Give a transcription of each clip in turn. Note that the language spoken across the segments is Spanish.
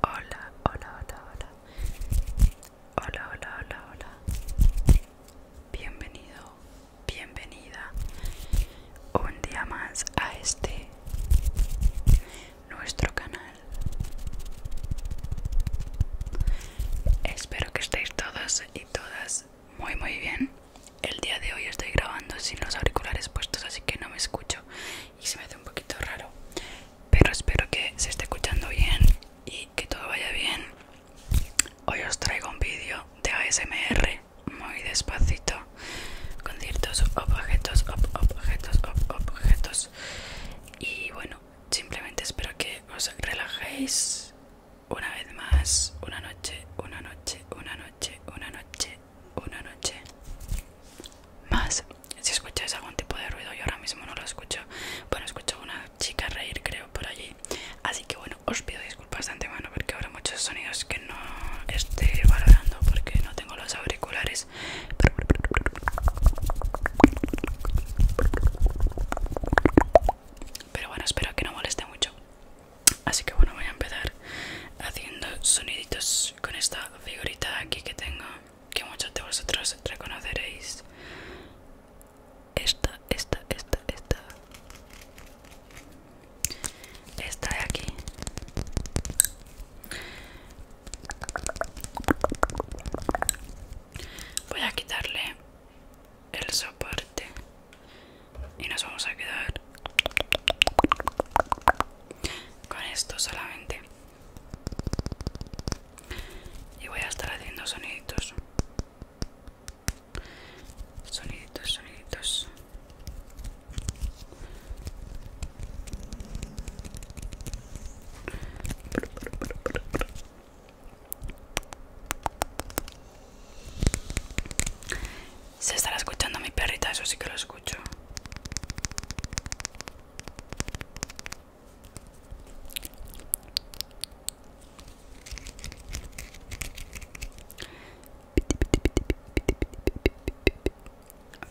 Hola, hola, hola, hola. Hola, hola, hola, hola. Bienvenido, bienvenida. Un día más a este nuestro canal. Espero que estéis todos y todas muy muy bien El día de hoy estoy grabando sin los auriculares puestos así que no me escucho Y se me hace un poquito raro Pero espero que se esté escuchando bien y que todo vaya bien Hoy os traigo un vídeo de ASMR muy despacito Con ciertos objetos, objetos, objetos Y bueno, simplemente espero que os relajéis una vez más, una noche, una noche, una noche, una noche, una noche más. Si escucháis algún tipo de ruido, yo ahora mismo no lo escucho. Bueno, escucho una chica reír, creo, por allí. Así que bueno, os pido disculpas de antemano porque habrá muchos sonidos que no esté valorando porque no tengo los auriculares. Pero bueno, espero que no moleste mucho. Así que bueno, voy a empezar haciendo soniditos con esta figurita aquí que tengo, que muchos de vosotros reconoceréis. Esta, esta, esta, esta. Esta de aquí. Voy a quitarle el soporte y nos vamos a quedar con esto solamente y voy a estar haciendo soniditos soniditos soniditos se estará escuchando mi perrita, eso sí que lo escucho.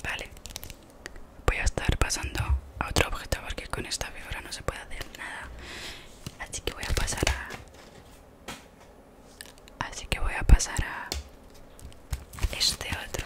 Vale, voy a estar pasando a otro objeto porque con esta vibra no se puede hacer nada. Así que voy a pasar a Así que voy a pasar a este otro.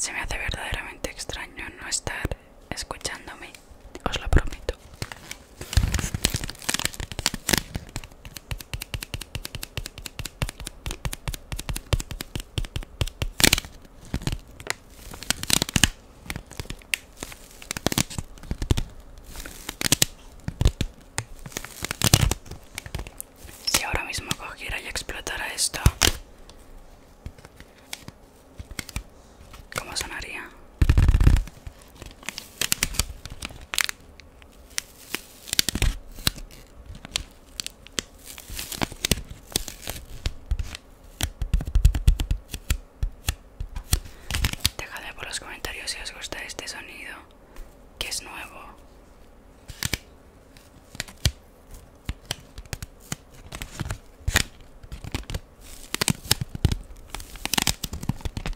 Se me hace verdaderamente extraño no estar escuchándome, os lo prometo. Si ahora mismo cogiera y explotara esto, ¿cómo sonaría? Dejadme por los comentarios si os gusta este sonido, que es nuevo.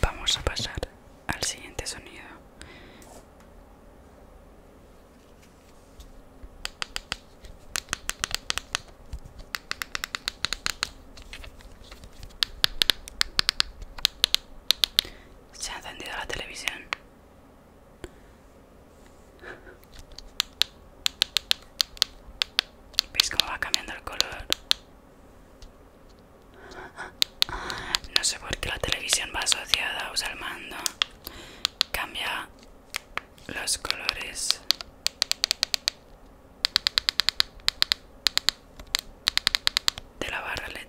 Vamos a pasar al siguiente sonido. Se ha encendido la televisión. ¿Veis cómo va cambiando el color? No sé por qué la televisión va asociada a usar el mando. Cambia los colores. De la barra LED.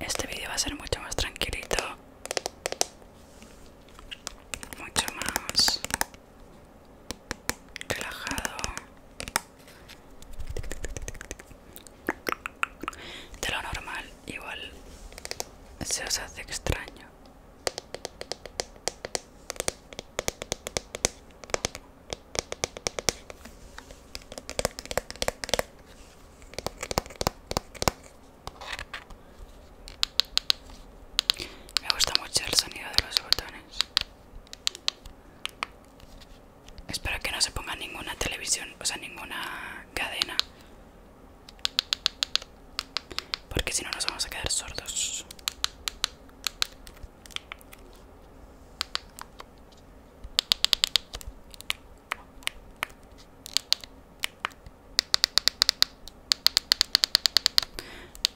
Este vídeo va a ser mucho más tranquilito, mucho más relajado. De lo normal, igual se os hace extraño. Me gusta mucho el sonido de los botones. Espero que no se ponga ninguna televisión, o sea, ninguna cadena. Porque si no nos vamos a quedar sordos.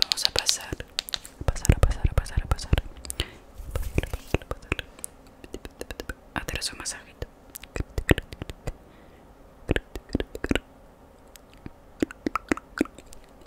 Vamos a pasar, pasar, a pasar, a pasar, pasar, pasar, masajito. Ah,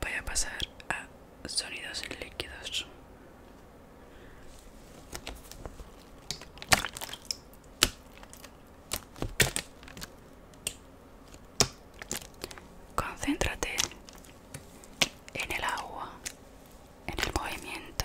voy a pasar a sonidos líquidos concéntrate en el agua en el movimiento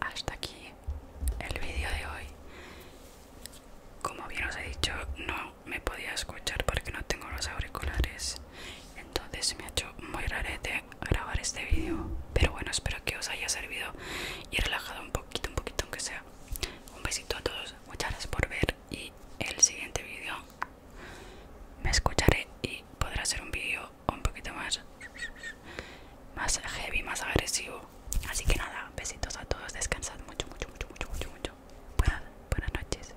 Hasta aquí el vídeo de hoy. Como bien os he dicho, no me podía escuchar porque no tengo los auriculares entonces me ha hecho muy rarete grabar este vídeo pero bueno espero que os haya servido y relajado un poquito un poquito aunque sea un besito a todos muchas gracias por ver y el siguiente vídeo me escucharé y podrá ser un vídeo un poquito más más heavy más agresivo así que nada besitos a todos descansad mucho mucho mucho mucho mucho mucho buenas buenas noches